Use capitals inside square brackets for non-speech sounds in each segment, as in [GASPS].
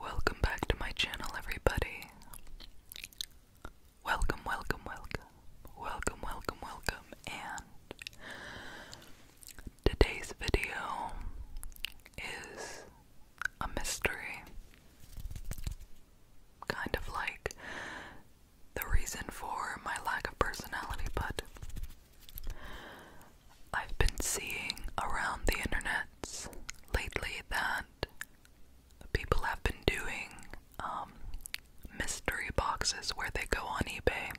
Welcome back to my channel, everybody. Welcome, welcome, welcome. Welcome, welcome, welcome. And today's video is a mystery kind of like the reason for my lack of personality, but I've been seeing around the internet lately that people have been doing um, mystery boxes where they go on eBay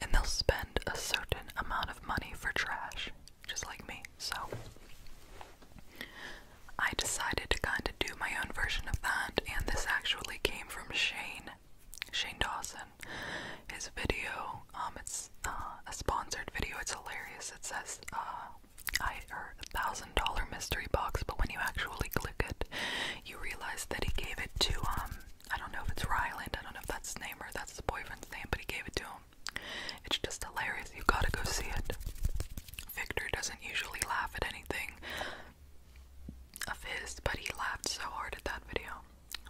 and they'll spend a certain amount of money for trash, just like me. So I decided to kind of do my own version of that, and this actually came from Shane, Shane Dawson. His video, um, it's uh, a sponsored video. It's hilarious. It says, uh, "I or a thousand dollar mystery box," but when you actually click it, you realize that he gave it to um, I don't know if it's Ryland. I don't know if that's his name or that's his boyfriend's name, but he gave it to him it's just hilarious. You gotta go see it. Victor doesn't usually laugh at anything of his, but he laughed so hard at that video.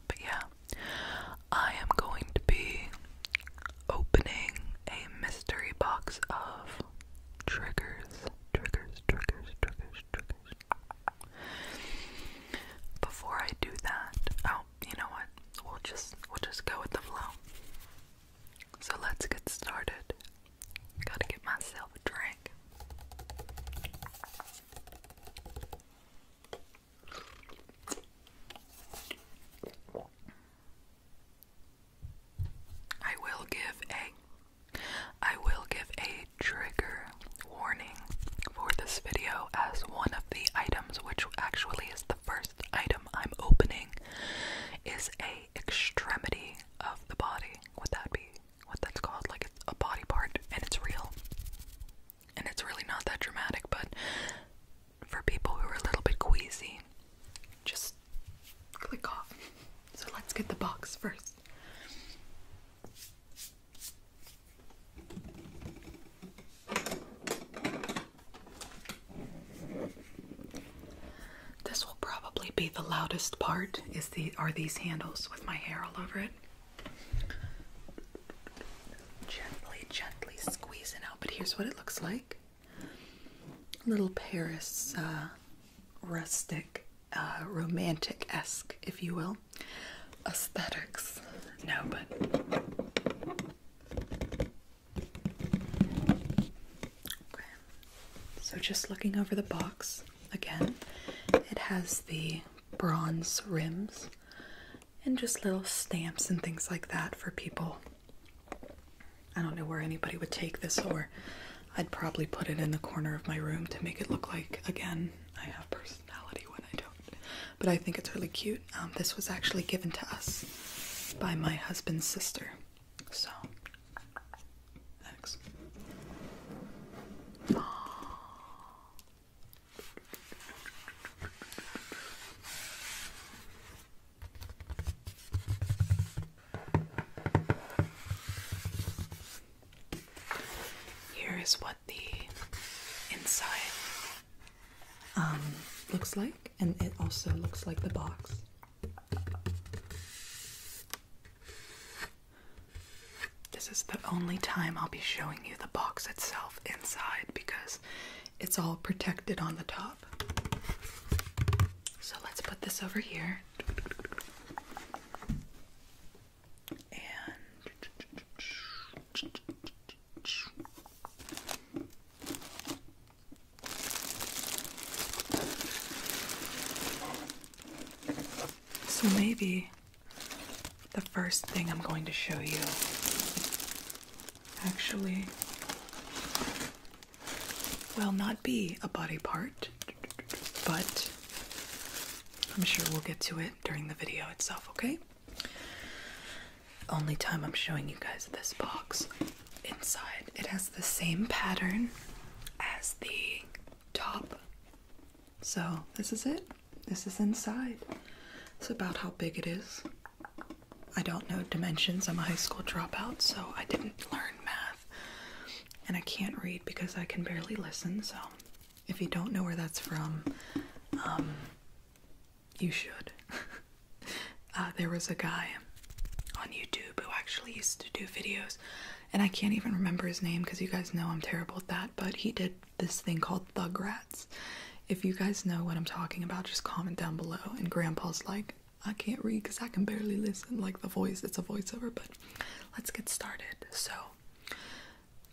But yeah, I am going to be opening a mystery box of triggers, triggers, triggers, triggers, triggers. Before I do that, oh, you know what? We'll just we'll just go with the flow. So let's get started. Gotta get myself a drink. I will give a I will give a trigger warning for this video as one of the items which actually is the the first item I'm opening is a extremity of the body. Would that be what that's called? Like it's a body part and it's real. And it's really not that dramatic, but for people who are a little bit queasy, just click off. So let's get the box first. This will probably be the loudest part is the are these handles with my hair all over it. Gently, gently squeezing out, but here's what it looks like. Little Paris uh, rustic, uh, romantic esque, if you will. Aesthetics. No, but so just looking over the box again, it has the bronze rims and just little stamps and things like that for people. I don't know where anybody would take this or I'd probably put it in the corner of my room to make it look like again I have personality when I don't. But I think it's really cute. Um, this was actually given to us by my husband's sister. So, thanks. Here is what the inside um, looks like and it also looks like the box. This is the only time I'll be showing you the box itself inside because it's all protected on the top. So let's put this over here. So maybe the first thing I'm going to show you actually will not be a body part, but I'm sure we'll get to it during the video itself, okay? only time I'm showing you guys this box. Inside, it has the same pattern as the top. So, this is it. This is inside. It's about how big it is. I don't know dimensions. I'm a high school dropout, so I didn't learn math. And I can't read because I can barely listen, so if you don't know where that's from, um, you should. [LAUGHS] Uh, there was a guy on YouTube who actually used to do videos, and I can't even remember his name because you guys know I'm terrible at that, but he did this thing called Thug Rats. If you guys know what I'm talking about, just comment down below. And Grandpa's like, I can't read because I can barely listen. Like the voice, it's a voiceover, but let's get started. So,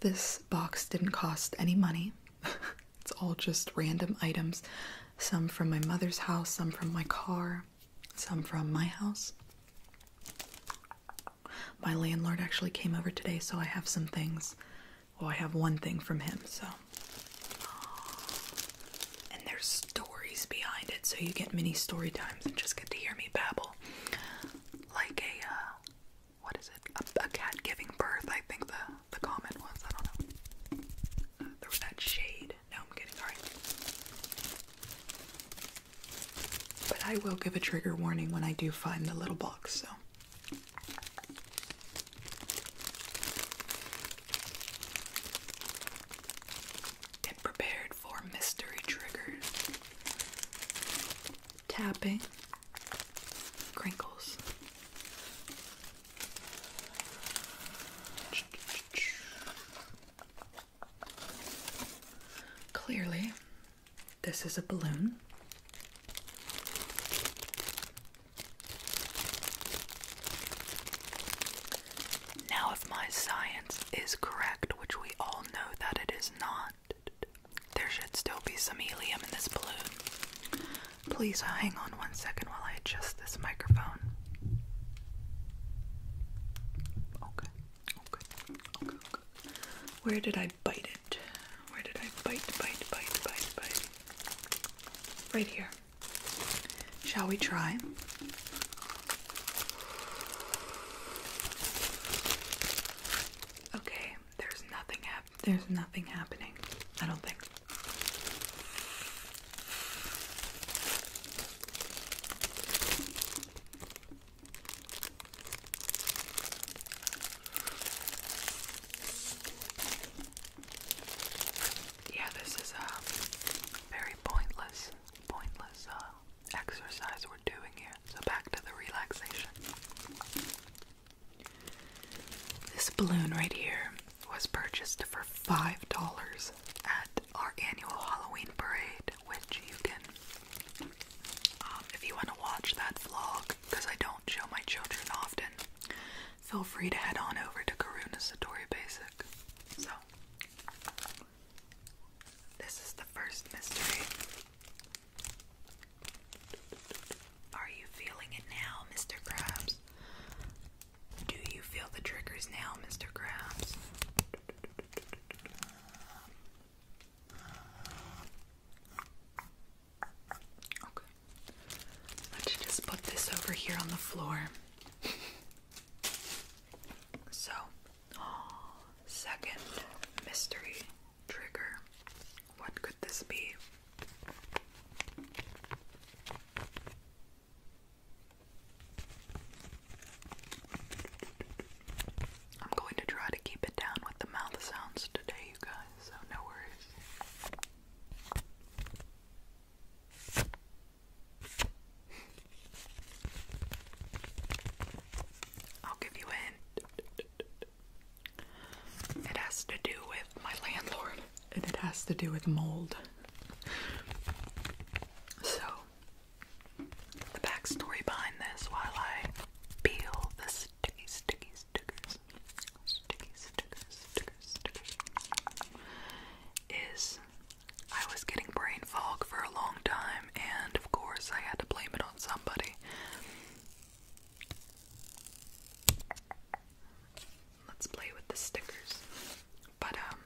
this box didn't cost any money. [LAUGHS] It's all just random items. Some from my mother's house, some from my car, some from my house. My landlord actually came over today, so I have some things. Well, I have one thing from him, so. And there's stories behind it, so you get mini story times and just get to hear me babble. Like a, uh, what is it? a cat giving birth, I think the the common ones. I don't know. Uh, there was that shade. Now I'm getting sorry. But I will give a trigger warning when I do find the little box. So. Get prepared for mystery triggers. Tapping. Crinkles. Clearly, this is a balloon. Now, if my science is correct, which we all know that it is not, there should still be some helium in this balloon. Please uh, hang on one second while I adjust this microphone. Okay, okay, okay, Where did I bite it? Where did I bite, bite, bite, bite, bite? Right here. Shall we try? Okay, there's nothing there's nothing happening. I don't think. Yeah, this is a um, very pointless, pointless uh, exercise we're doing here. So back to the relaxation. This balloon right here was purchased for $5 at our annual Halloween parade, which you can, um, if you want to watch that vlog, because I don't show my children often, feel free to head on over to Karuna Satori Basic. So, this is the first mystery. Are you feeling it now, Mr. Krabs? Do you feel the triggers now, Mr. Krabs? Okay. Let's just put this over here on the floor. so, second mystery trigger. What could this be? I'm going to try to keep it down with the mouth sounds today, you guys, so no worries. I'll give you a It has to do with my landlord, and it has to do with mold. So, the backstory behind this while I peel the sticky, stickers, is I was getting brain fog for a long time, and of course, I had to blame it on somebody. Let's play with the stickers. But um,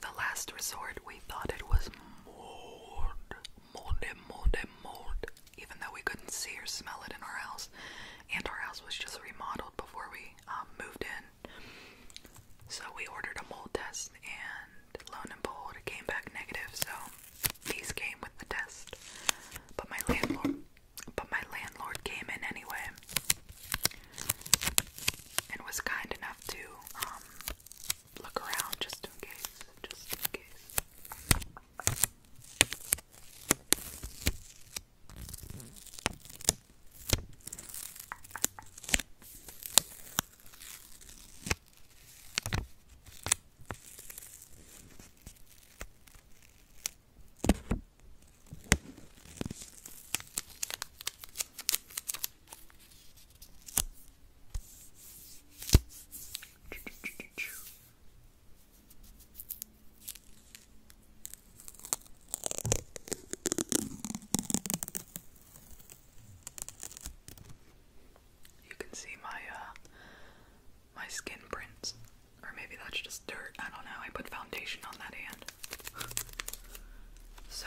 the last resort we thought it was mold. Mold mold mold. Even though we couldn't see or smell it in our house. And our house was just remodeled before we um, moved in. So we ordered a mold test and loan and behold it came back negative, so these came with the test. But my landlord but my landlord came in anyway and was kind enough to um, look around just in case, just in case. You can see my uh, my skin prints or maybe that's just dirt. I don't know. I put foundation on that hand. So,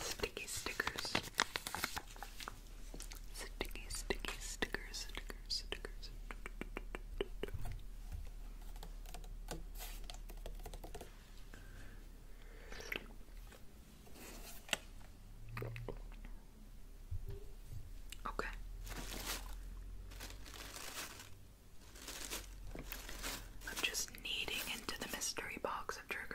sticky stickers. Sticky, sticky stickers, stickers, stickers. Okay. I'm just kneading into the mystery box of triggers.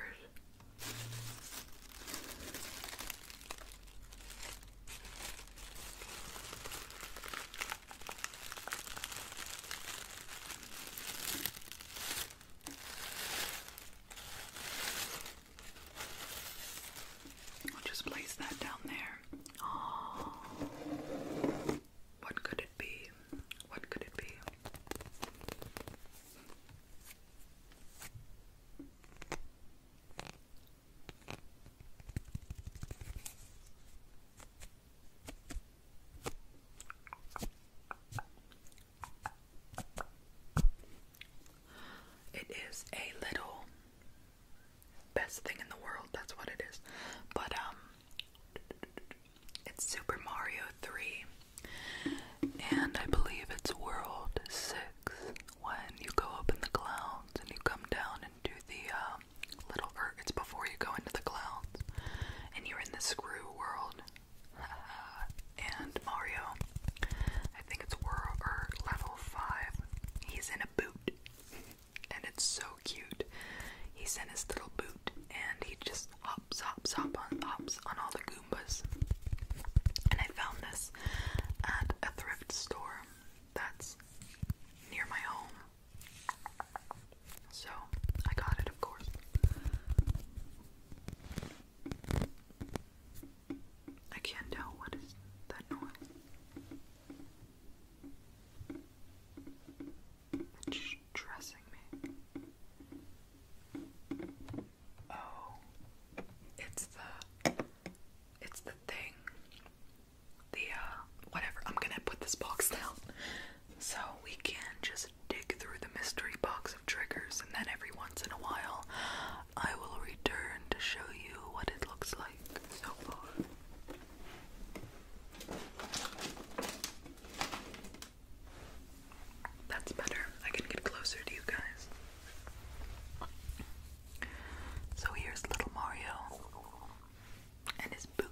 I'll just place that down there. Oh, what could it be? What could it be? It is a little best thing in the world, that's what it is. But um it's Super Mario 3 and I believe it's World 6 when you go up in the clouds and you come down into the uh, little or it's before you go into the clouds and you're in the screw world. [LAUGHS] and Mario, I think it's world level 5. He's in a boot. [LAUGHS] and it's so cute. He's in his little boot and he just hops, hops, hops on, hops on all the Goombas. And I found this at a thrift store that's near my home. So I got it, of course. I can't tell what is that noise. It's stressing me. Oh, it's the, it's the thing, the uh, whatever. I'm gonna put this box [LAUGHS] down so we can just dig through the mystery box of triggers, and then every once in a while, I will return to show you what it looks like so far. That's better. I can get closer to you guys. So here's little Mario and his boot.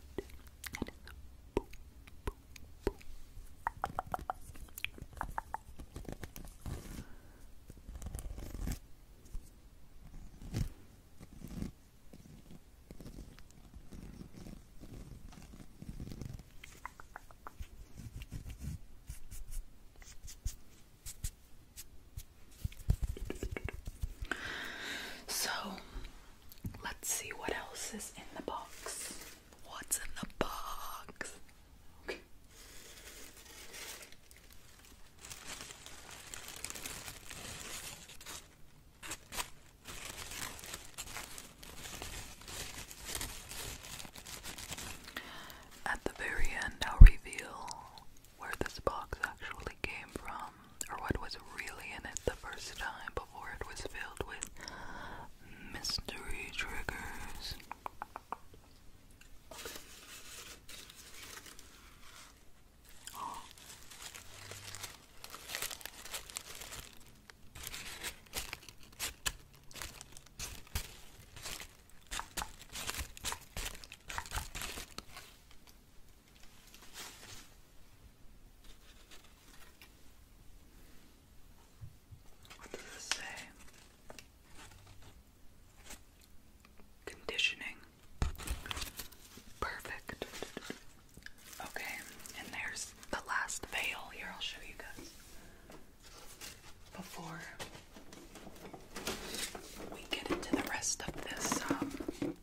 So let's see what else is in the box. What's in the box? Okay. At the very end, I'll reveal where this box actually came from, or what was really in it the first time before it was filled with mystery triggers. Oh. What does it say? conditioning. Perfect. Okay, and there's the last veil. Here, I'll show you guys before we get into the rest of this um,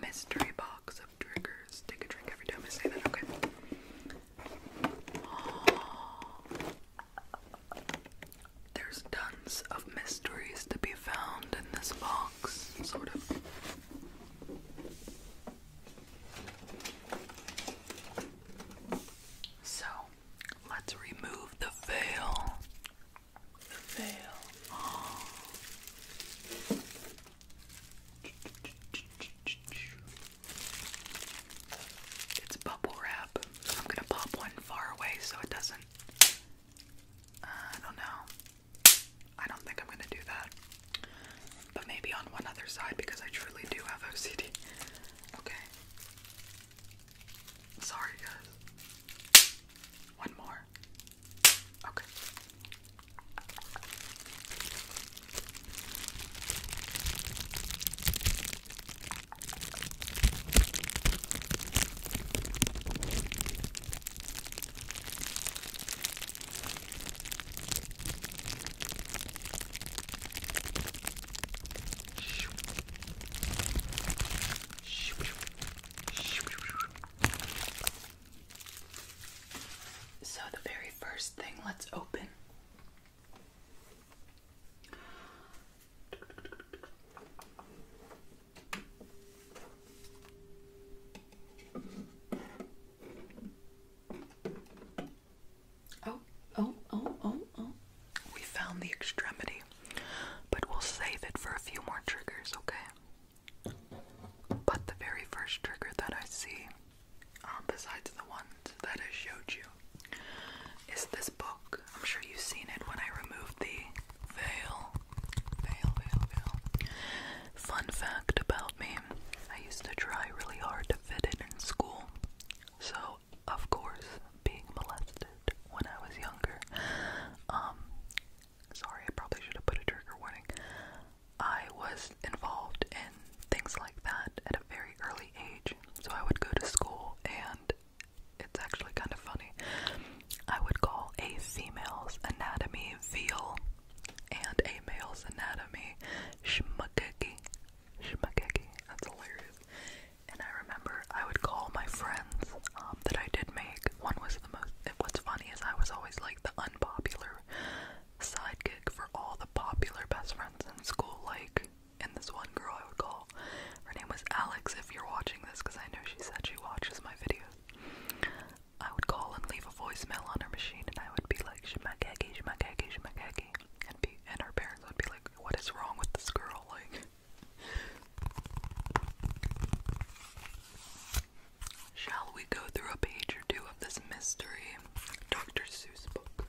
mystery box of triggers. Take a drink every time I say that, okay? There's tons of mysteries to be found in this box, sort of. So, let's remove the veil. The veil. It's bubble wrap. I'm gonna pop one far away so it doesn't I don't know. I don't think I'm gonna do that. But maybe on one other side because I truly do have OCD. Okay. Sorry, guys. One more. Okay. So, the very first thing let's open Oh, oh, oh, oh, oh. We found the extremity, but we'll save it for a few more triggers, okay? But the very first trigger that I see, um, besides the ones that I showed you, is this book. I'm sure you've seen it when I removed the Veil. Veil, veil, veil. Fun fact about me I used to try really hard to fit in in school. So, of course, being molested when I was younger, um, sorry, I probably should have put a trigger warning. I was involved in things like that at a very early age. So I would go to school and it's actually kind of funny. I would call a female's anatomy veal and a male's anatomy schmuckeggy. Schmuckeggy. That's hilarious. And I remember I would call my friends um, that I did make. One was the most. What's funny is I was always like the unpopular sidekick for all the popular best friends in school. Like, and this one girl I would call, her name was Alex. If you're watching this, because I know she said she watches my videos. I would call and leave a voicemail on her machine, and I would be like, Shmakagi, Shmakagi, Shmakagi. And, be, and her parents would be like, What is wrong with this girl? [LAUGHS] Like, shall we go through a page or two of this mystery Dr. Seuss book?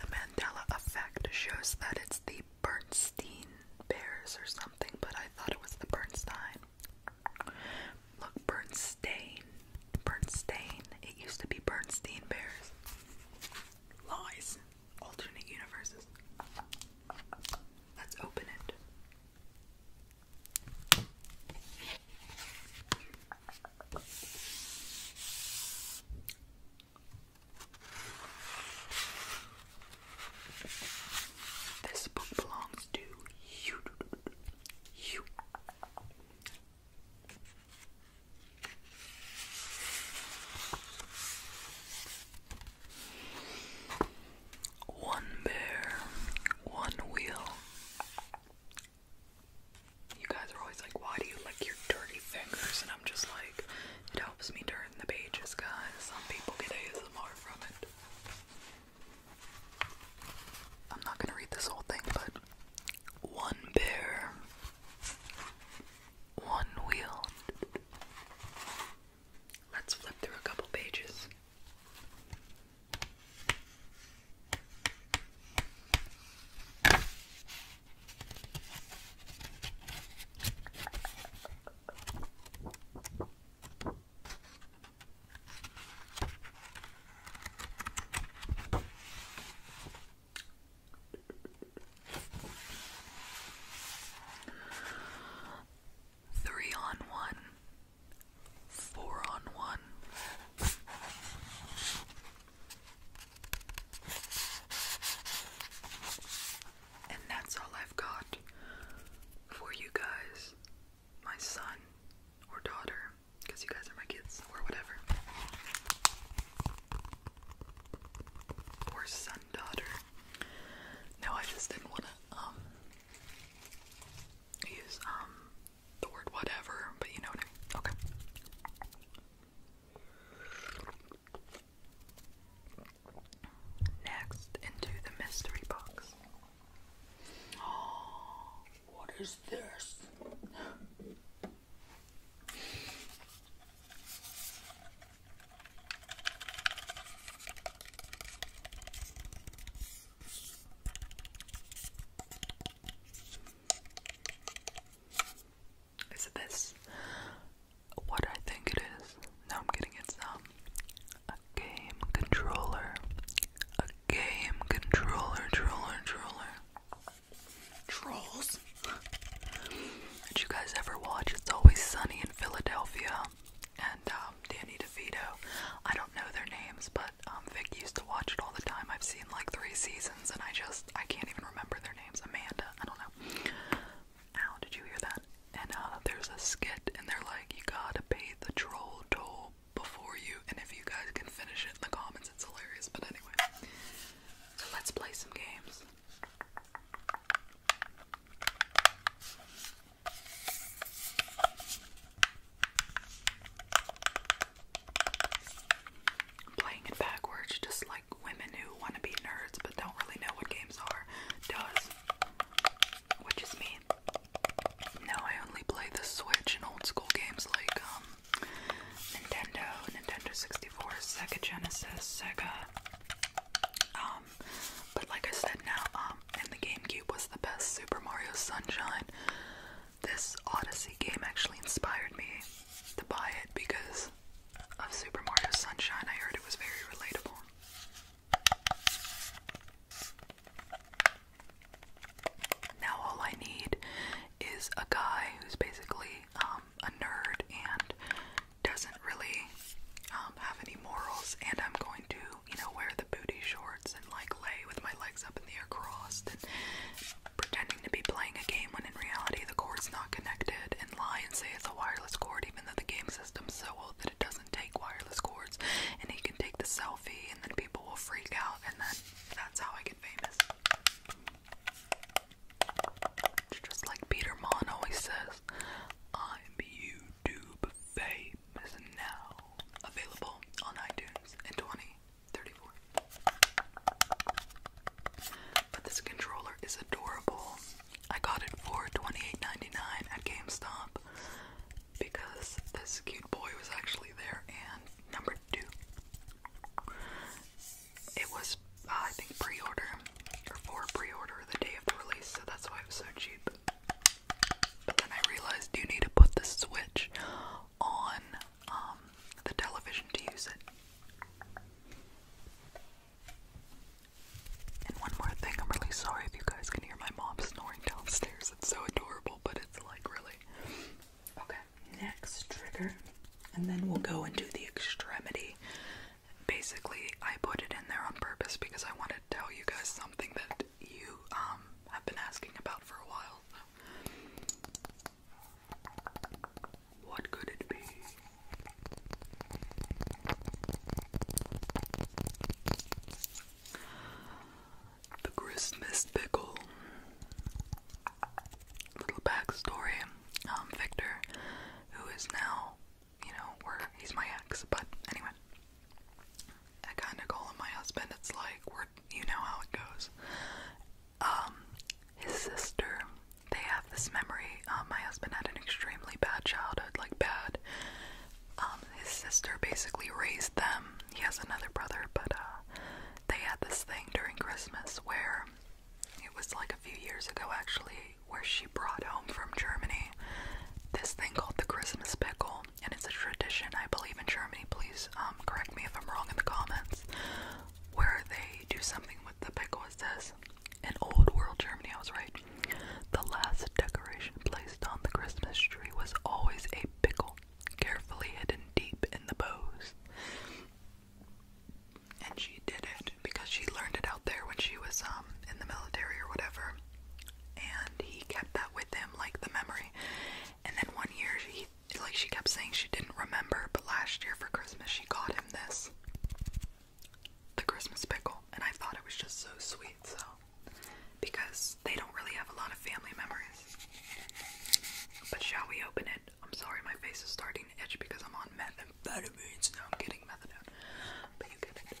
The Mandela effect shows that it's the Bernstein Bears or something, but I thought it was the Bernstein. Look, Bernstein. Bernstein. It used to be Bernstein Bears. Lies. Alternate universes. Let's open it. This book belongs to you. One bear, one wheel. You guys are always like, why do you lick your dirty fingers? And I'm just like, it helps me turn the pages, guys. Some people get ASMR from it. I'm not gonna read this whole thing, but one bear, one wheel. Let's flip through a couple pages. Three on one, four on one. And that's all I've got for you guys, my son or daughter, because you guys are my kids, or whatever. Or son, daughter. No, I just didn't want to, um, use, um, the word whatever, but you know what I mean. Okay. Next, into the mystery box. Oh, [GASPS] what is this? Is this? what I think it is. Now I'm getting it's some um, a game controller. A game controller, troller, troller. Trolls. Did you guys ever watch It's Always Sunny in Philadelphia? And um, Danny DeVito. I don't know their names, but um, Vic used to watch it all the time. I've seen like three seasons, and I just I can't even remember their names. Amanda, I don't know. Ow, did you hear that? And uh, there's a skit, and they're like, you gotta pay the troll toll before you, and if you guys can finish it in the comments, it's hilarious. But anyway, so let's play some games. Playing it backwards, just like women who want to be nerds but don't really know what games are, does. Which is me. Now I only play the Switch and old school games like um, Nintendo, Nintendo 64, Sega Genesis, Sega. Um, but like I said now, um, and the GameCube was the best Super Mario Sunshine. This Odyssey game actually inspired me to buy it because of Super Mario Sunshine. I heard it was very relatable. Now all I need is a guy who's basically um, a nerd and doesn't really um, have any morals, and I'm going to, you know, wear the booty shorts and like lay with my legs up in the air crossed and pretending to be playing a game when in reality the cord's not connected and lie and say it's a wireless cord even though the game system's so old that it doesn't take wireless cords and he can take the selfie and then people will freak out and then that's how I get famous. just like Peter Mon always says, I'm YouTube famous now. Available on iTunes in 2034. But this controller is adorable. I got it for $28.99 at GameStop because this cute boy was actually there. And number two, it was, uh, I think, pre order or pre order the day of release, so that's why it was so cheap. But then I realized you need to put the Switch on um, the television to use it. And one more thing, I'm really sorry if you guys can hear my mom snoring downstairs. It's so adorable, but it's like really. Okay, next trigger. And then we'll go into the extremity. Basically, I put it in there on purpose because I wanted to tell you guys something that you um have been asking about for a while. What could it be? The Christmas pickle. Little backstory. Um, Victor, who is now, you know, we're he's my ex, but anyway, I kind of call my husband. It's like we're, you know how it goes. Um, his sister. They have this memory. Um, my husband had an extremely bad childhood, like bad. Um, his sister basically raised them. He has another brother, but uh, they had this thing during Christmas where it was like a few years ago actually, where she brought home from Germany this thing called the Christmas pickle, and it's a tradition I believe in Germany. Please um, correct me if I'm wrong in the comments. Where they do something with the pickle. It this in old world Germany, I was right. The last decoration placed on the Christmas tree was always a pickle, carefully hidden deep in the bows. And she did it because she learned it out there when she was um in the military or whatever. And he kept that with him, like the memory. And then one year, she like she kept saying she didn't remember, but last year for Christmas she got him this the Christmas pickle, and I thought it was just so sweet, so because they don't really have a lot of family memories. But shall we open it? I'm sorry, my face is starting to itch because I'm on methamphetamines. Now I'm getting methadone, but you get it.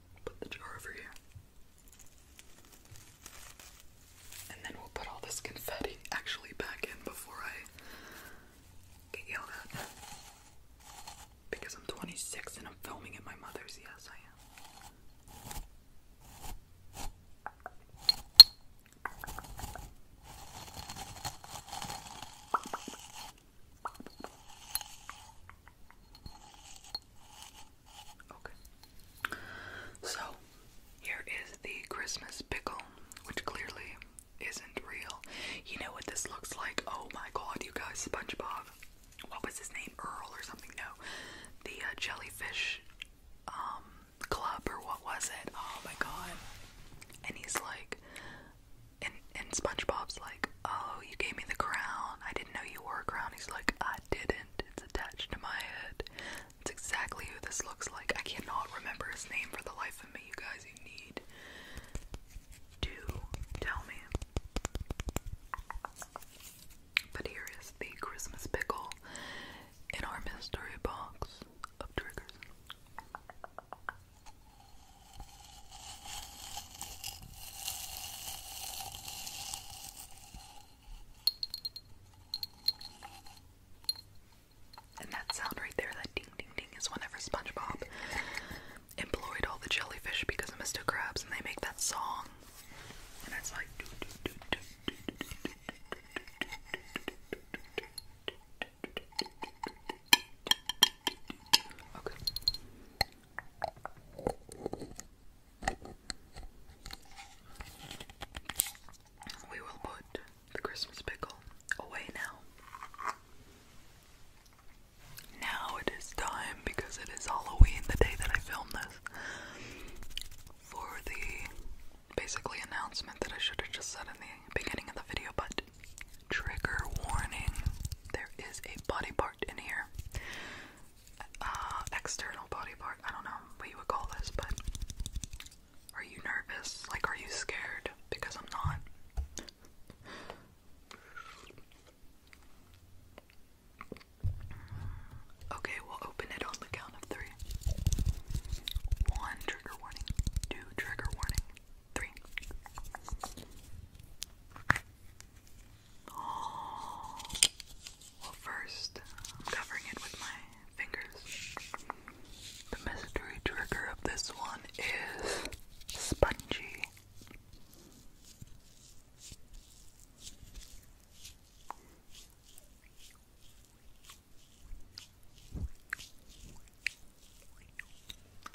Put the jar over here. And then we'll put all this confetti actually back in before I get yelled at. Because I'm 26 and I'm filming at my mother's, yes, I am. Okay. So, here is the Christmas pickle, which clearly isn't real. You know what this looks like? Oh my god, you guys, SpongeBob. What was his name? Earl or something? No. The uh, jellyfish um, club or what was it? Oh my god. And he's like and and SpongeBob's like Oh, you gave me the crown. I didn't know you wore a crown. He's like, I didn't. It's attached to my head. That's exactly who this looks like. I cannot remember his name for the life of me, you guys. You need to tell me. But here is the Christmas pickle in our mystery box of triggers. And that sound right there, that ding ding ding, is whenever SpongeBob employed all the jellyfish because of Mr. Krabs, and they make that song. And it's like. We will put the Christmas pickle away now. Now it is time, because it is Halloween the day that I filmed this, for the basically announcement that I should have just said in the beginning of the video, but trigger warning there is a body part in here uh, external body part. I don't know what you would call this, but are you nervous? Like, are you scared? Because I'm not. Okay, we'll open it on the count of three. One trigger warning, two trigger warning, three. Well, first, I'm covering it with my fingers. The mystery trigger of this one is spongy.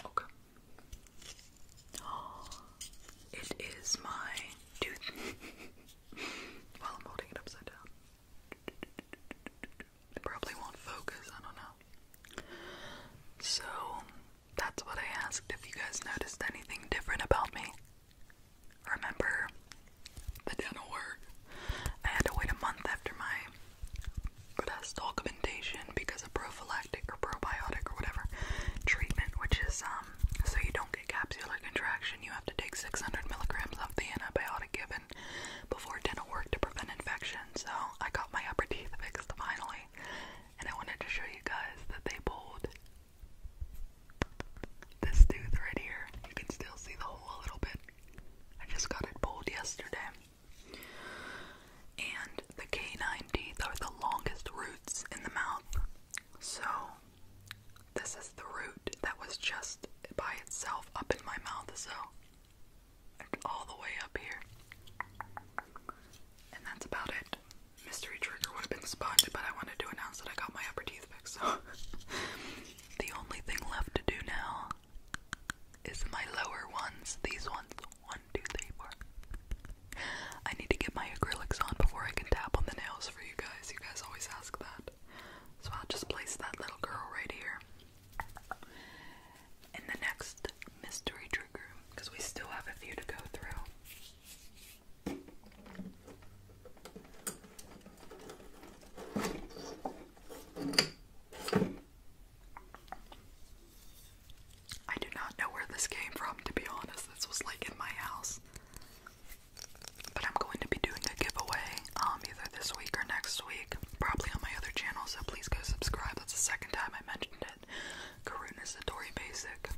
Okay. [GASPS] it is my tooth. [LAUGHS] While I'm holding it upside down. probably won't focus, I don't know. So, that's what I asked if you guys noticed anything different about me. Remember the dental work? I had to wait a month after my breast augmentation because of prophylactic or probiotic or whatever treatment, which is um so you don't get capsular contraction. You have to take 600 milligrams of the antibiotic given before dental work to prevent infection. So I got my upper teeth fixed finally, and I wanted to show you guys that they pulled this tooth right here. You can still see the hole a little bit. I just got it pulled yesterday. And the canine teeth are the longest roots in the mouth. So, this is the root that was just by itself up in my mouth, so all the way up here. And that's about it. Mystery trigger would have been sponged, but I wanted to announce that I got my upper teeth fixed, so [LAUGHS] the only thing left to do now is my lower ones. These ones. One, two, three, four. [LAUGHS] I need to get my acrylics on before I can tap on the nails for you guys. You guys always ask that. So I'll just place that little girl right here. In the next mystery trigger, because we still have a few to go through. I do not know where this came from, to be honest. This was like in my house. But I'm going to be doing a giveaway um, either this week or next week, probably on my other channel, so please go subscribe. That's the second time I mentioned it. Karuna Satori Basic.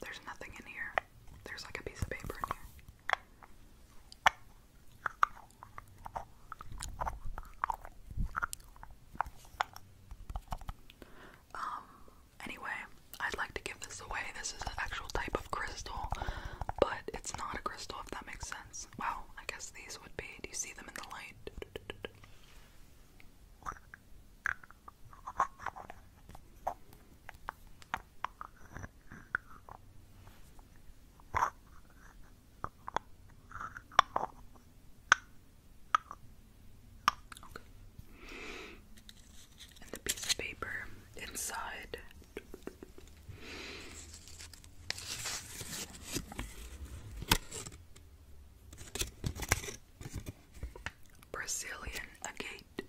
There's nothing in here. There's like a piece of paper in here. Um, anyway, I'd like to give this away. This is an actual type of crystal, but it's not a crystal if that makes sense. Well, I guess these would be. Do you see them in the light? And the piece of paper inside. Brazilian agate.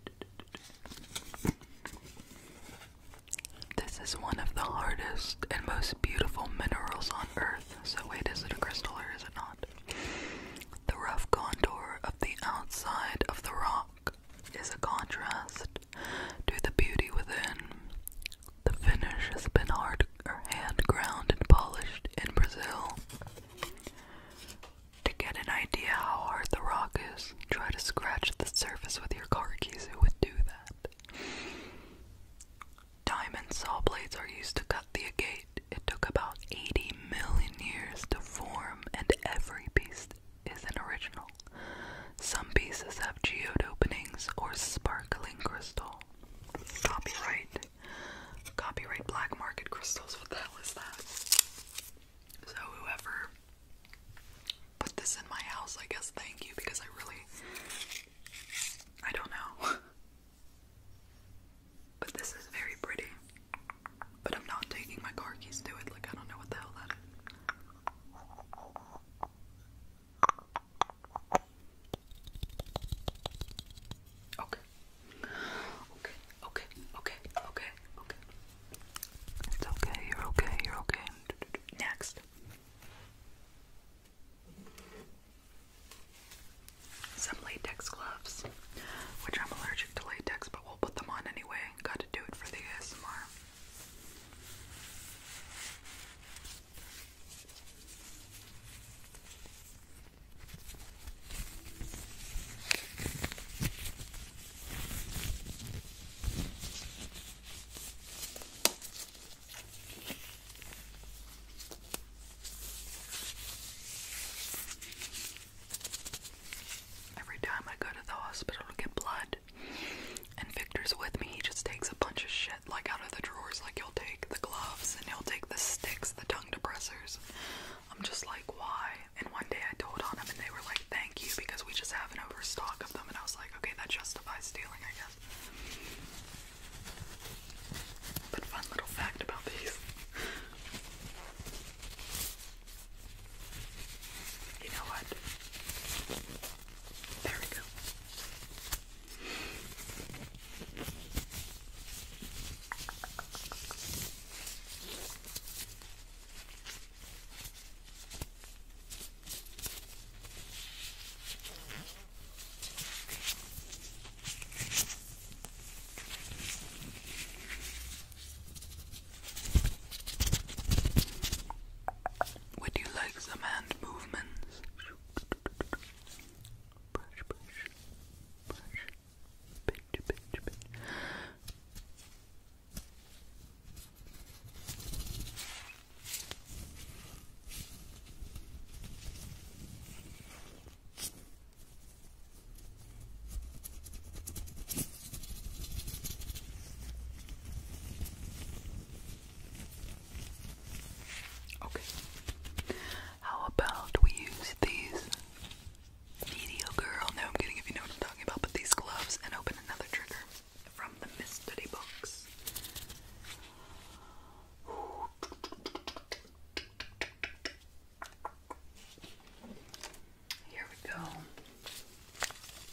This is one of the hardest and most beautiful minerals on earth. So, wait, is it a crystal or is it not? The rough contour of the outside of the rock is a contrast to the beauty within. The finish has been hard or hand ground and polished in Brazil. To get an idea how hard the rock is, try to scratch the surface with your car keys. It would do that? Diamond saw blades are used to cut the agate. It took about 80 million years to form, and every piece is an original. Some pieces have geode openings or sparkling crystal. Copyright. Copyright black market crystals. What the hell is that? So, whoever put this in my house, I guess thank you because I really. I don't know. [LAUGHS] But this is very pretty. But I'm not taking my car keys to it, like I don't know what the hell that is. Okay. Okay, okay, okay, okay, okay. It's okay, you're okay, you're okay. Next. Some latex gloves, which I'm allergic to latex, but we'll put them on anyway. Got to do it for the ASMR. Every time I go to the hospital to get blood, and Victor's with me, he just takes a bunch of shit like out of the drawers. Like he'll take the gloves and he'll take the sticks, the tongue depressors. I'm just like, why? And one day I told on them, and they were like, thank you, because we just have an overstock of them. And I was like, okay, that justifies stealing, I guess. But fun little fact about these. You know what? There we go. Would you like some hand movements? Brush, brush, brush, pinch, pinch, pinch. Okay. How about we use these video girl? No, I'm kidding if you know what I'm talking about, but these gloves and open another trigger from the mystery box. Here we go.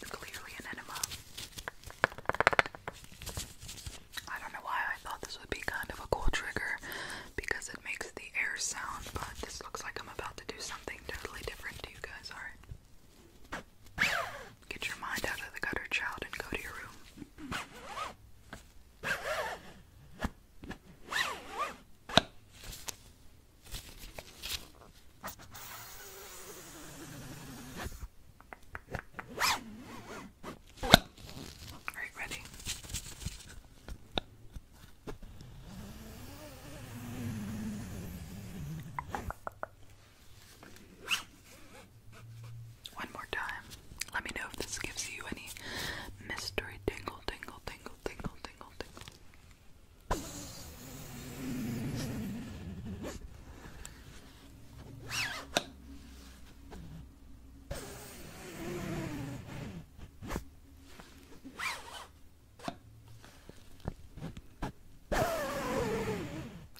Clearly an enema. I don't know why I thought this would be kind of a cool trigger because it makes the air sound, but this looks like I'm about to do something totally different to you guys, alright? Get your mind out of the gutter, child, and go to your room. Are you ready? One more time. Let me know if this gives you any mystery tingle, tingle, tingle, tingle, tingle, tingle.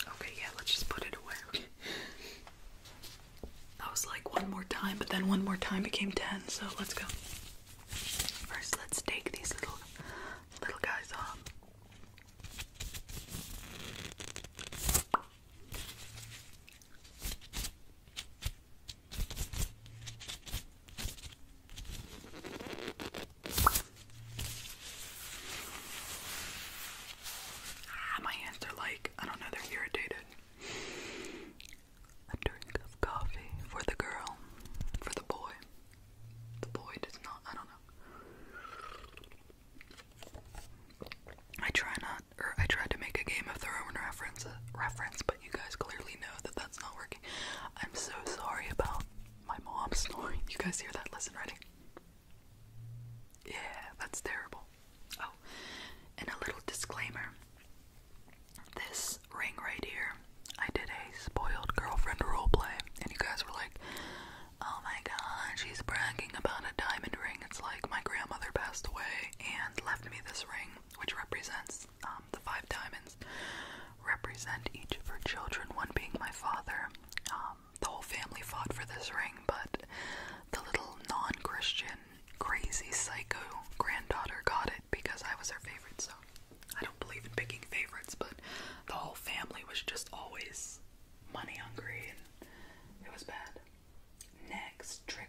Okay, yeah, let's just put it away. That was like one more time, but then one more time became ten, so let's go. First, let's take these little little guys off. Ah, my hands are like, I don't know, they're irritated. A drink of coffee for the girl, for the boy. The boy does not, I don't know. I try not, or I tried to make a Game of Thrones reference, reference, but you guys clearly know that that's not working. I'm so sorry about my mom snoring. You guys hear that? Listen, ready? Yeah, that's terrible. Oh, and a little disclaimer this ring right here, I did a spoiled girlfriend roleplay, and you guys were like, oh my god, she's bragging about a diamond ring. It's like my grandmother passed away and left me this ring, which represents um, the five diamonds, represent each of her children, one being my father. Um, the whole family fought for this ring, but the little non Christian crazy psycho granddaughter got it because I was her favorite, so I don't believe in picking favorites, but the whole family was just always money hungry and it was bad. Next trigger.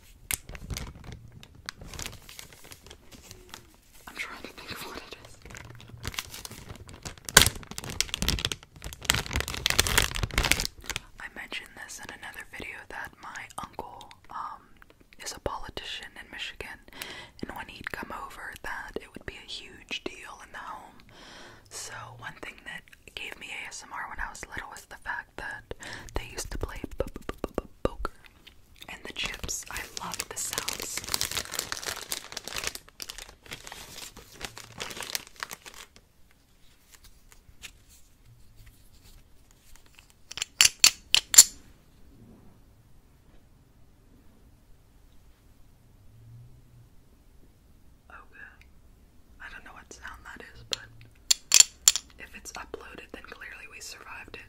I'm trying to think of what it is. I mentioned this in another video that my uncle um is a politician in Michigan and when he'd come over that it would be a huge deal in the home. So one thing that gave me ASMR when I was little was the fact that they used to play poker and the chips. I love the sounds. Okay. Oh, I don't know what sound that is, but if it's uploaded, then clearly we survived it.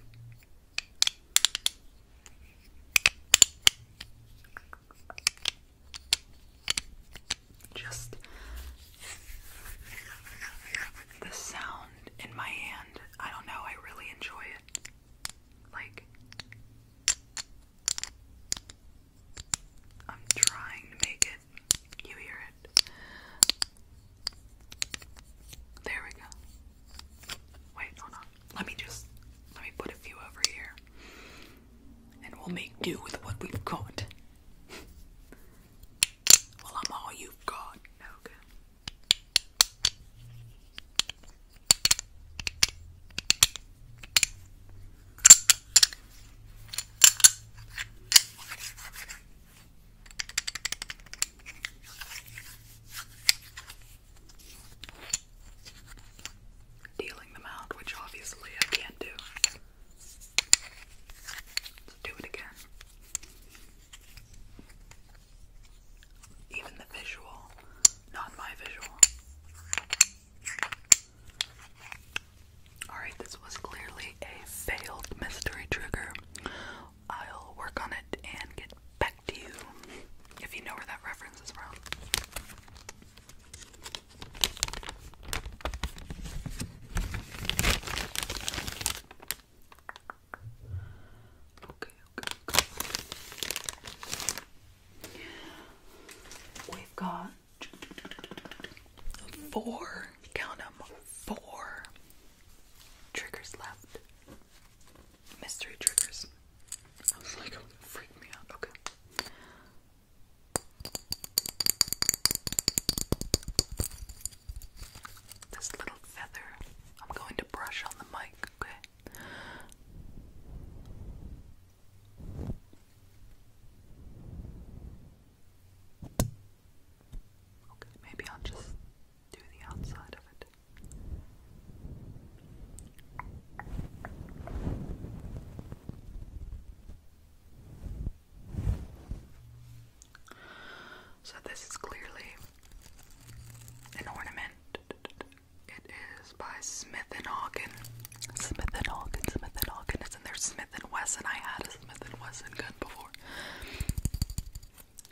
Just the sound in my hand. I don't know, I really enjoy it. Like, I'm trying to make it. You hear it. There we go. Wait, hold on. Let me just let me put a few over here. And we'll make do with what we've got. [LAUGHS] well, I'm all you've got. Okay. Dealing them out, which obviously I can't do. Let's do it again. Even the visual, not my visual. Alright, this was clearly a failed mystery trigger. I'll work on it and get back to you if you know where that reference is from. Okay, okay, We've got four, count them, four triggers left. Mystery triggers. freak me out. Okay. This little feather, I'm going to brush on the mic, okay? Okay, maybe I'll just do the outside of it. So, this is clearly an ornament. It is by Smith and Hawken. Smith and Hawken, Smith and Hawken. It's in there. Smith and Wesson. I had a Smith and Wesson gun before.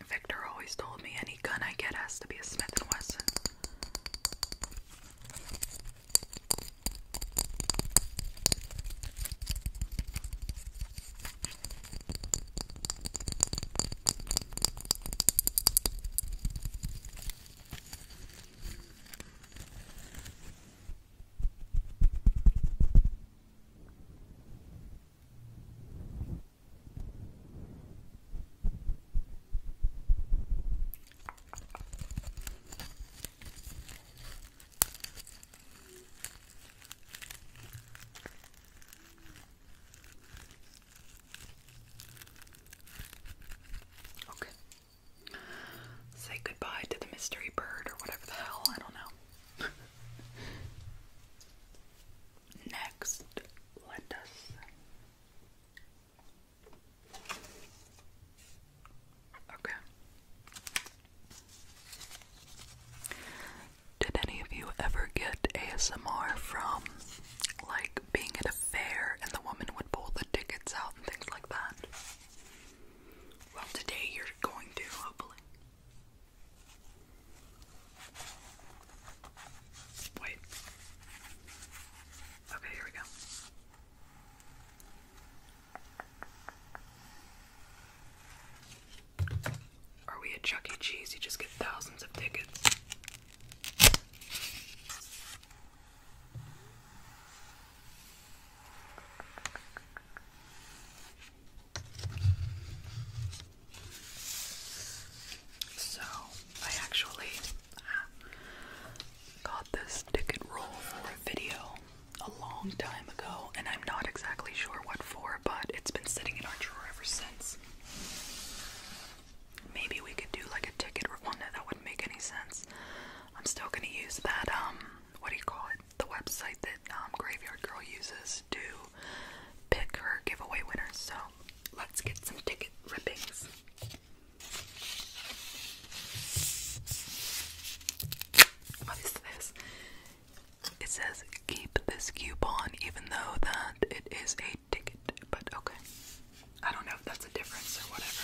Victor always told me any gun I get has to be a Smith & Wesson. Okay. Say goodbye to the mystery bird or whatever the hell, I don't know. [LAUGHS] Next, lettuce. Okay. Did any of you ever get ASMR from like being at a fair and the woman would pull the tickets out and things like that? Well, today you're going to, hopefully. Wait. Okay, here we go. Are we at Chuck E. Cheese? You just get thousands of tickets. So, I actually uh, got this ticket roll for a video a long time ago, and I'm not exactly sure what for, but it's been sitting in our drawer ever since. Maybe we could do like a ticket roll. no, that wouldn't make any sense. I'm still gonna use that, um, what do you call it? The website that um, Graveyard Girl uses to pick her giveaway winners. So let's get some ticket rippings. What is this? It says keep this coupon even though that it is a ticket, but okay. I don't know if that's a difference or whatever.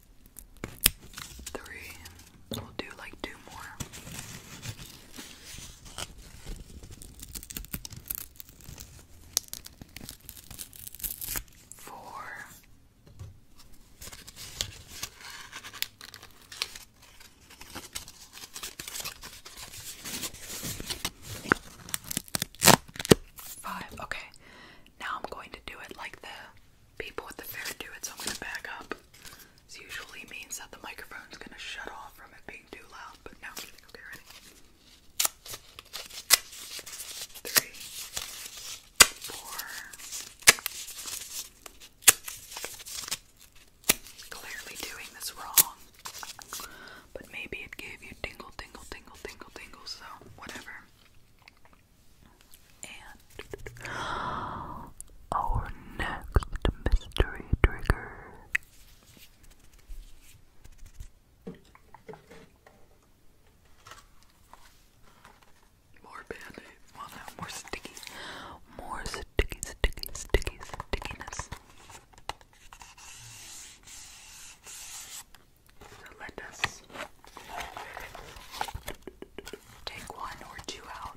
three. We'll do like two more. Four. Five. Okay. Now I'm going to do it like this people with the fair do it, so I'm gonna back up. This usually means that the microphone's gonna shut off from it being too loud, but now Okay, ready? Three, four. Clearly doing this wrong, but maybe it gave you tingle, tingle, tingle, tingle, tingle, so whatever. And [GASPS] our next mystery trigger. More band aid. Well, more sticky. More sticky, sticky, sticky, stickiness. let us take one or two out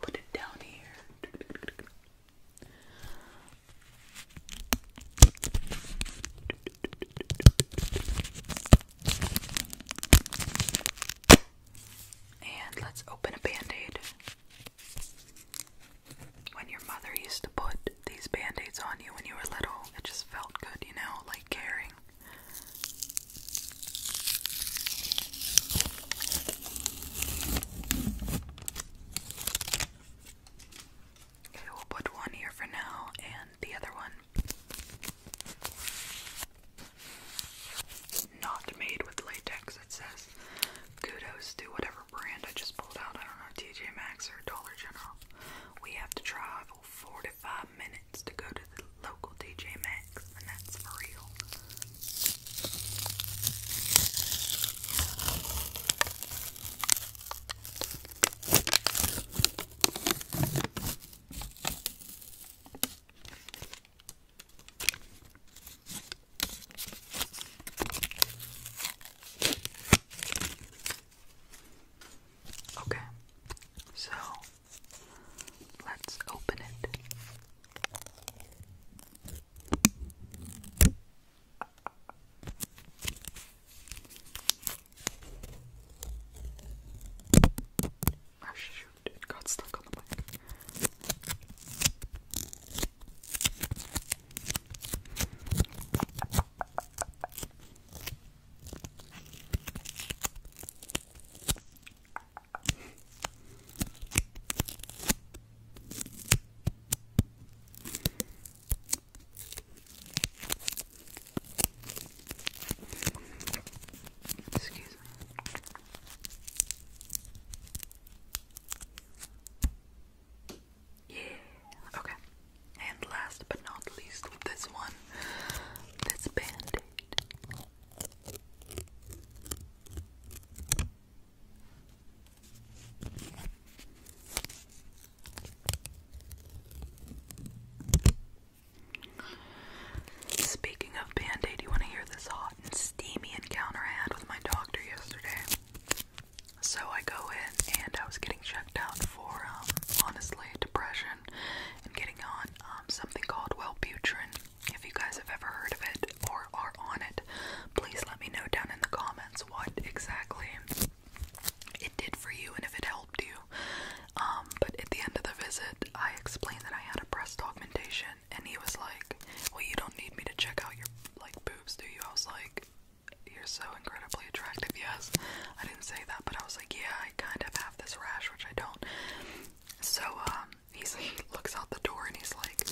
Put it down here. And let's open a band aid. When your mother used to put these band aids on you when you were little, it just felt good, you know, like caring. Okay, we'll put one here for now and the other one. Not made with latex, it says. Kudos to whatever brand I just pulled out. I don't know, TJ Maxx or Dollar General. We have to travel four to five minutes to go to the local DJ Maxx, and that's for real. Okay, so Let's open it. Oh shoot, it got stuck on the mic. Excuse me. Yeah. Okay. And last but not least with this one, this band Speaking of band aid, you want to hear this hot and steamy encounter I had with my doctor yesterday? So I go in and I was getting checked out for, um, honestly, depression and getting on um, something called Wellbutrin. If you guys have ever heard of it or are on it, please let me know down in the comments what exactly it did for you and if it helped you. Um, but at the end of the visit, I explained that I had a breast augmentation, and he was like, "Well, you don't need me to check out your like boobs, do you?" I was like, "You're so incredibly attractive." Yes, I didn't say that, but I was like, "Yeah, I kind of have this rash, which I don't. So um, he's, he looks out the door and he's like,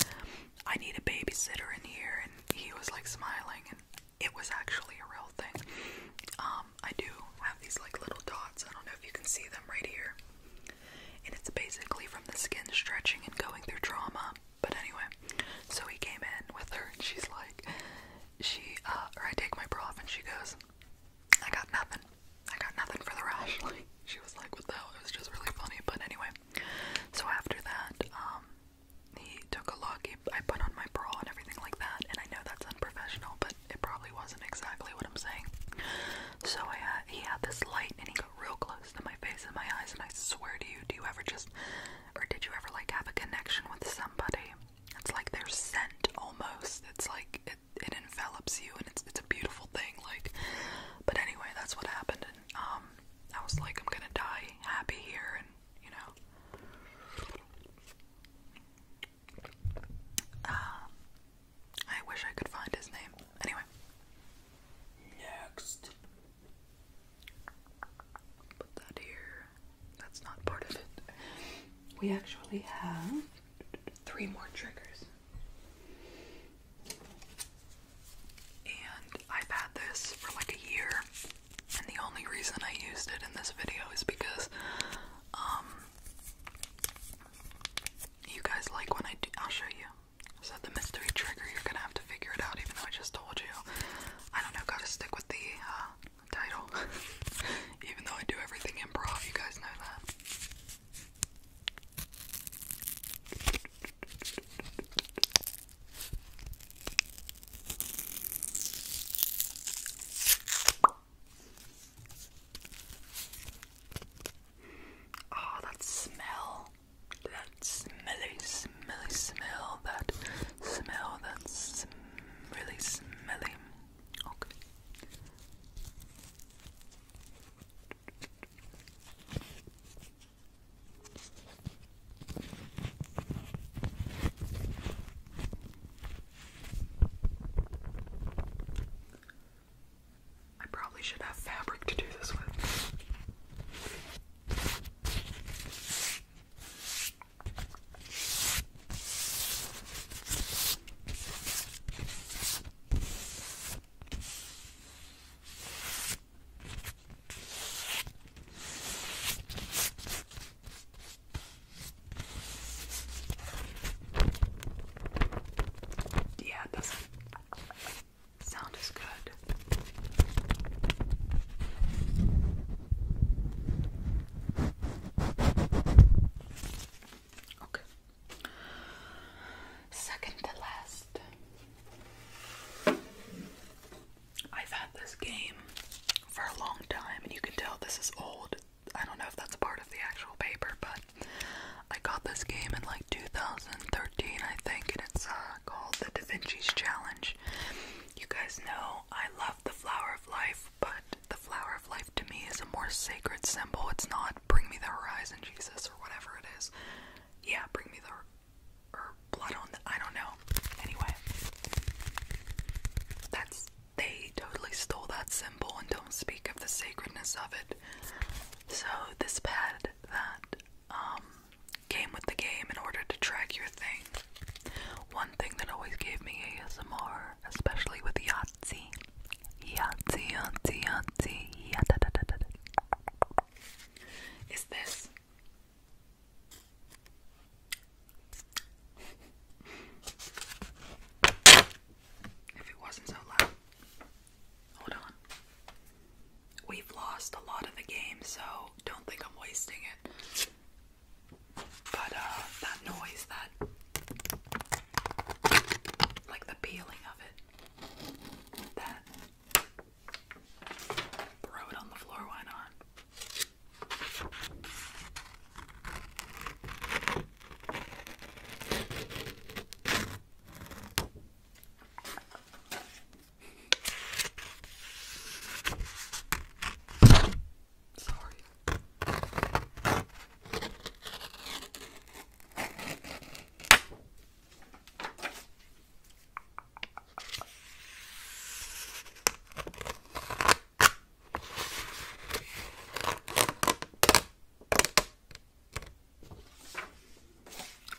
I need a babysitter in here, and he was like smiling, and it was actually a real thing. Um, I do have these like little dots. I don't know if you can see them right here, and it's basically from the skin stretching and going through trauma. But anyway, so he came in with her, and she's like, she, uh, or I take my bra off, and she goes, I got nothing. I got nothing for the rashly. [LAUGHS] she was like, "What the hell?" It was just really funny. But anyway, so after that, um, he took a look. He, I put on my bra and everything like that. And I know that's unprofessional, but it probably wasn't exactly what I'm saying. So I, he had this light, and he got real close to my face and my eyes. And I swear to you, do you ever just, or did you ever like have a connection with somebody? It's like their scent almost. It's like it, envelops you, and it's it's a beautiful thing. Like, but anyway, that's what happened, and um, I was like, I'm gonna die happy here, and you know, um, I wish I could find his name. Anyway, next, put that here. That's not part of it. We actually have three more triggers. And I've had this for like a year, and the only reason I used it in this video is because, um, you guys like when I do. I'll show you. So, the mystery trigger, you're gonna have to figure it out, even though I just told you. I don't know, gotta stick with the, uh, title. [LAUGHS] Even though I do everything in improv, you guys know that. Oh, that smell. That smelly, smelly smell. That smell. That's really smelly. Okay. I probably should have fabric to do this with. Yeah, it doesn't sound as good. Okay. Second to last. I've had this game for a long time, and you can tell this is old. I don't know if that's part of the actual paper, but I got this game in like 2013, I think, and it's uh, called the Da Vinci's Challenge. You guys know I love the Flower of Life but the flower of life to me is a more sacred symbol. It's not bring me the horizon, Jesus, or whatever it is. Yeah, bring me the or blood on the I don't know. Anyway, that's they totally stole that symbol and don't speak of the sacredness of it. So this pad that um came with the game in order to track your thing. One thing that always gave me ASMR, especially with Yahtzee, Yahtzee, Yahtzee, Yahtzee, Yahtzee. Is this? If it wasn't so loud. Hold on. We've lost a lot of the game, so don't think I'm wasting it. But uh that noise that like the peeling of it. That. Throw it on the floor, why not? Sorry.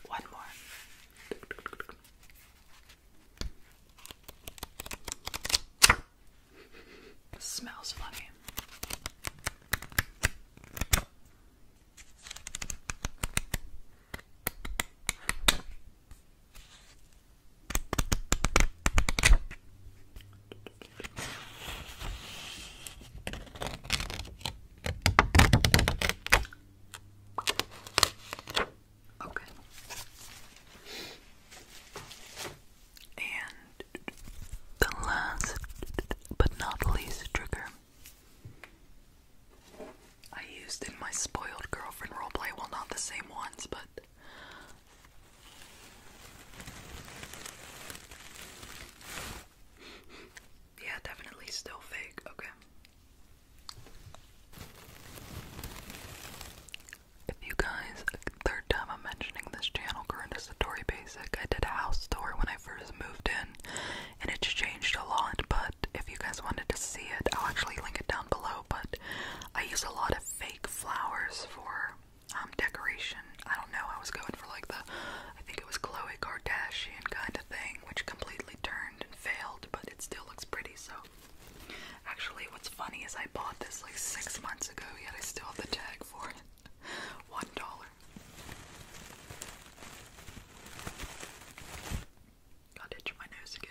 One more. This smells funny. Okay. And the last but not least trigger I used in my spoiled girlfriend roleplay, well, not the same ones, but. Yeah, definitely still fake. Okay. If you guys, third time I'm mentioning this channel, Current is the Basic. I did a house tour when I first moved in, and it's changed a lot, but if you guys wanted to see it, I'll actually link it down below, but I use a lot of fake flowers for um, decoration. I don't know, I was going for like the, I think it was Khloe Kardashian kind of thing, which completely turned and failed, but it still looks pretty, so... Actually, what's funny is I bought this like six months ago, yet I still have the tag for it. [LAUGHS] One dollar. Got itch my nose again.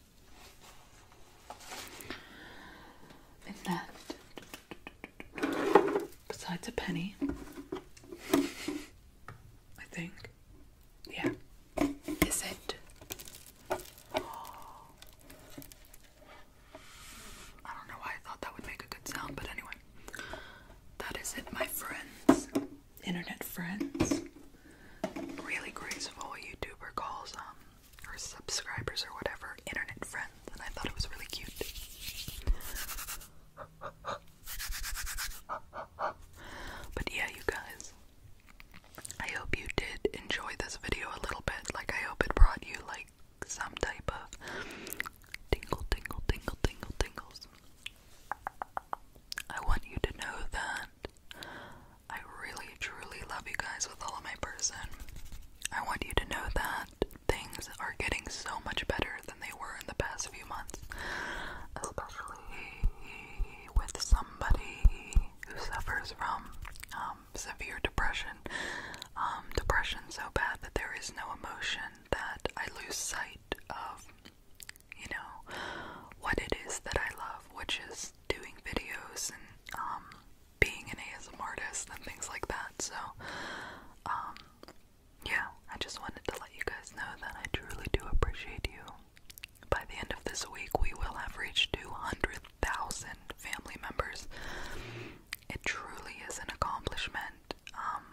and that, besides a penny, I think, yeah, is it? I don't know why I thought that would make a good sound, but anyway, that is it, my friends, internet friends. Really grateful YouTuber calls um or subscribers or whatever, internet friends, and I thought it was really cute. But yeah, you guys, I hope you did enjoy this video a little bit. Like, I hope it brought you, like, some type of tingle, tingle, tingle, tingle, tingles. I want you to know that I really truly love you guys with all of my person. I want you to know that things are getting so much better than they were in the past few months, especially with somebody who suffers from um, severe depression. Um, depression so bad that there is no emotion that I lose sight of, you know, what it is that I love, which is doing videos and um, being an ASM artist and things like that. So, um, yeah, I just wanted to let you guys know that I truly do appreciate you. By the end of this week, we will have reached 200,000 family members. It truly is an accomplishment. Um,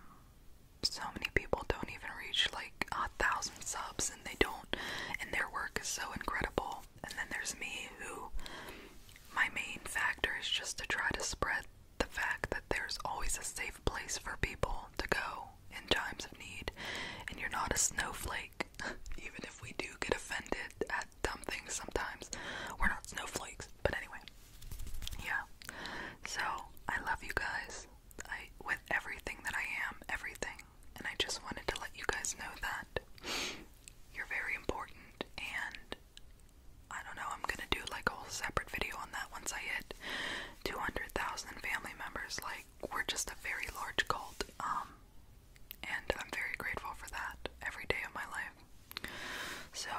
so many people don't even reach like a thousand subs, and they don't, and their work is so incredible. And then there's me, who my main factor is just to try to spread the fact that there's always a safe place for people to go in times of need, and you're not a snowflake. [LAUGHS] Even if we do get offended at dumb things sometimes, we're not snowflakes. But anyway, yeah. So I love you guys. I with everything that I am, everything, and I just wanted to let you guys know that. You're very important, and I don't know, I'm gonna do like a whole separate video on that once I hit 200,000 family members. Like, we're just a very large cult, um, and I'm very grateful for that every day of my life. So,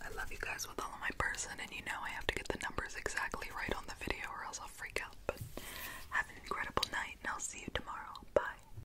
I love you guys with all of my person, and you know I have to get the numbers exactly right on the video or else I'll freak out. But have an incredible night, and I'll see you tomorrow. Bye.